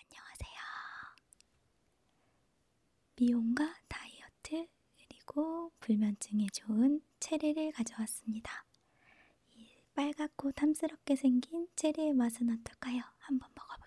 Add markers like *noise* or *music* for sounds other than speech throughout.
안녕하세요. 미용과 다이어트 그리고 불면증에 좋은 체리를 가져왔습니다. 이 빨갛고 탐스럽게 생긴 체리의 맛은 어떨까요? 한번 먹어볼게요.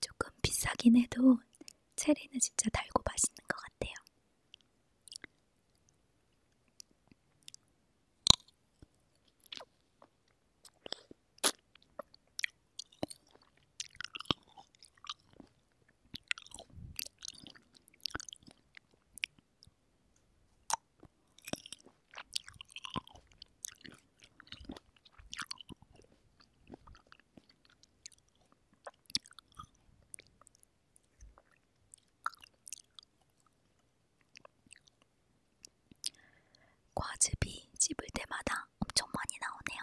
조금 비싸긴 해도 체리는 진짜 달고 맛있는 것 같아요. 과즙이 씹을 때마다 엄청 많이 나오네요.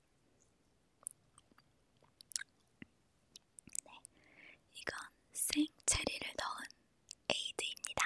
네, 이건 생 체리를 넣은 에이드입니다.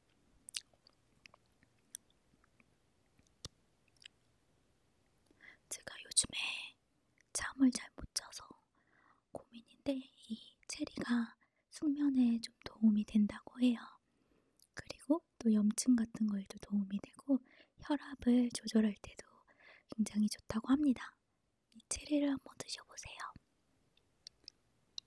제가 요즘에 잠을 잘 못 자서 고민인데 이 체리가 숙면에 좀 도움이 된다고 해요. 그리고 또 염증 같은 거에도 도움이 되고 혈압을 조절할 때도 굉장히 좋다고 합니다. 이 체리를 한번 드셔보세요.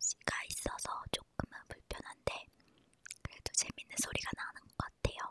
씨가 있어서 조금은 불편한데 그래도 재밌는 소리가 나는 것 같아요.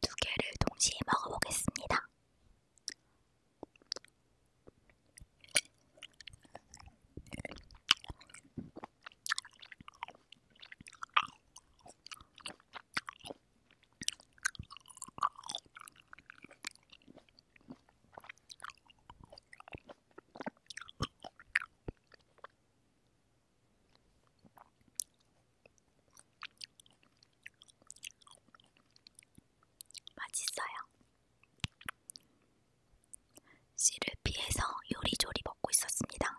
두 개를 동시에 먹어보겠습니다. 맛있어요. 씨를 피해서 요리조리 먹고 있었습니다.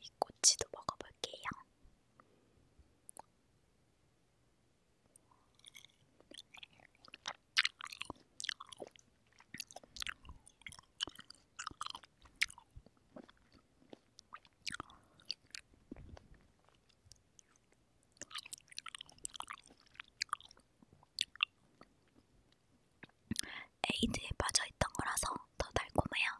이 꼬치도 먹어볼게요. 에이드에 빠져있던 거라서 더 달콤해요.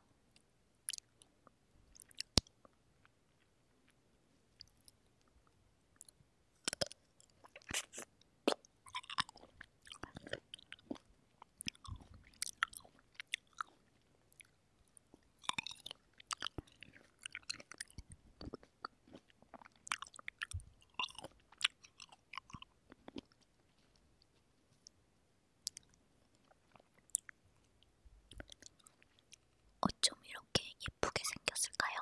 어쩜 이렇게 예쁘게 생겼을까요?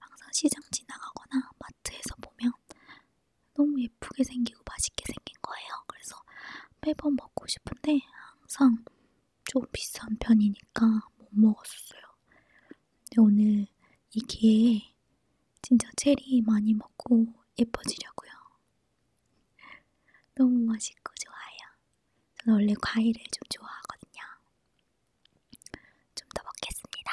항상 시장 지나가거나 마트에서 보면 너무 예쁘게 생기고 맛있게 생긴 거예요. 그래서 매번 먹고 싶은데 항상 좀 비싼 편이니까 못 먹었어요. 근데 오늘 이 기회에 진짜 체리 많이 먹고 예뻐지려고요. 너무 맛있고 좋아요. 저는 원래 과일을 좀 좋아하거든요. 좀 더 먹겠습니다.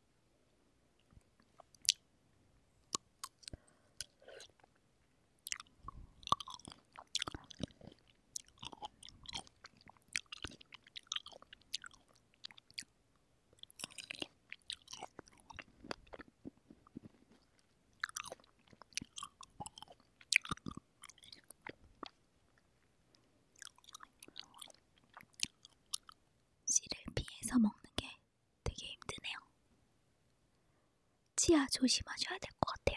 씨를 피해서 먹는 게 되게 힘드네요. 치아 조심하셔야 될 것 같아요.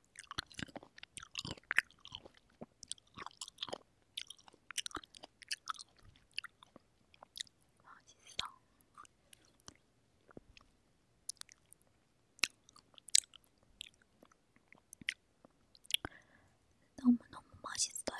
맛있어. 너무너무 맛있어요.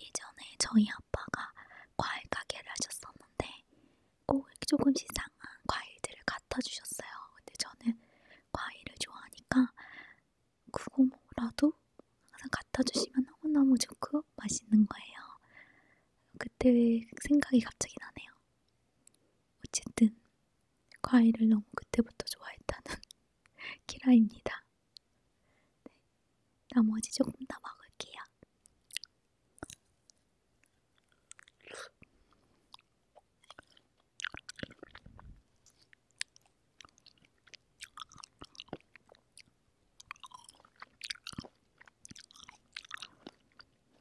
예전에 저희 아빠가 과일 가게를 하셨었는데 꼭 조금씩 상한 과일들을 갖다 주셨어요. 근데 저는 과일을 좋아하니까 그거 뭐라도 항상 갖다 주시면 너무너무 좋고 맛있는 거예요. 그때 생각이 갑자기 나네요. 어쨌든 과일을 너무 그때부터 좋아했다는 *laughs* 키라입니다. 네, 나머지 조금 더 먹을게요.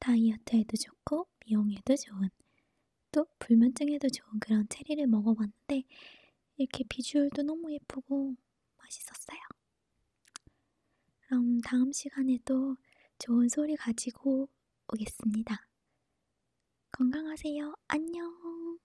다이어트에도 좋고 미용에도 좋은 또 불면증에도 좋은 그런 체리를 먹어봤는데 이렇게 비주얼도 너무 예쁘고 맛있었어요. 그럼 다음 시간에도 좋은 소리 가지고 오겠습니다. 건강하세요. 안녕.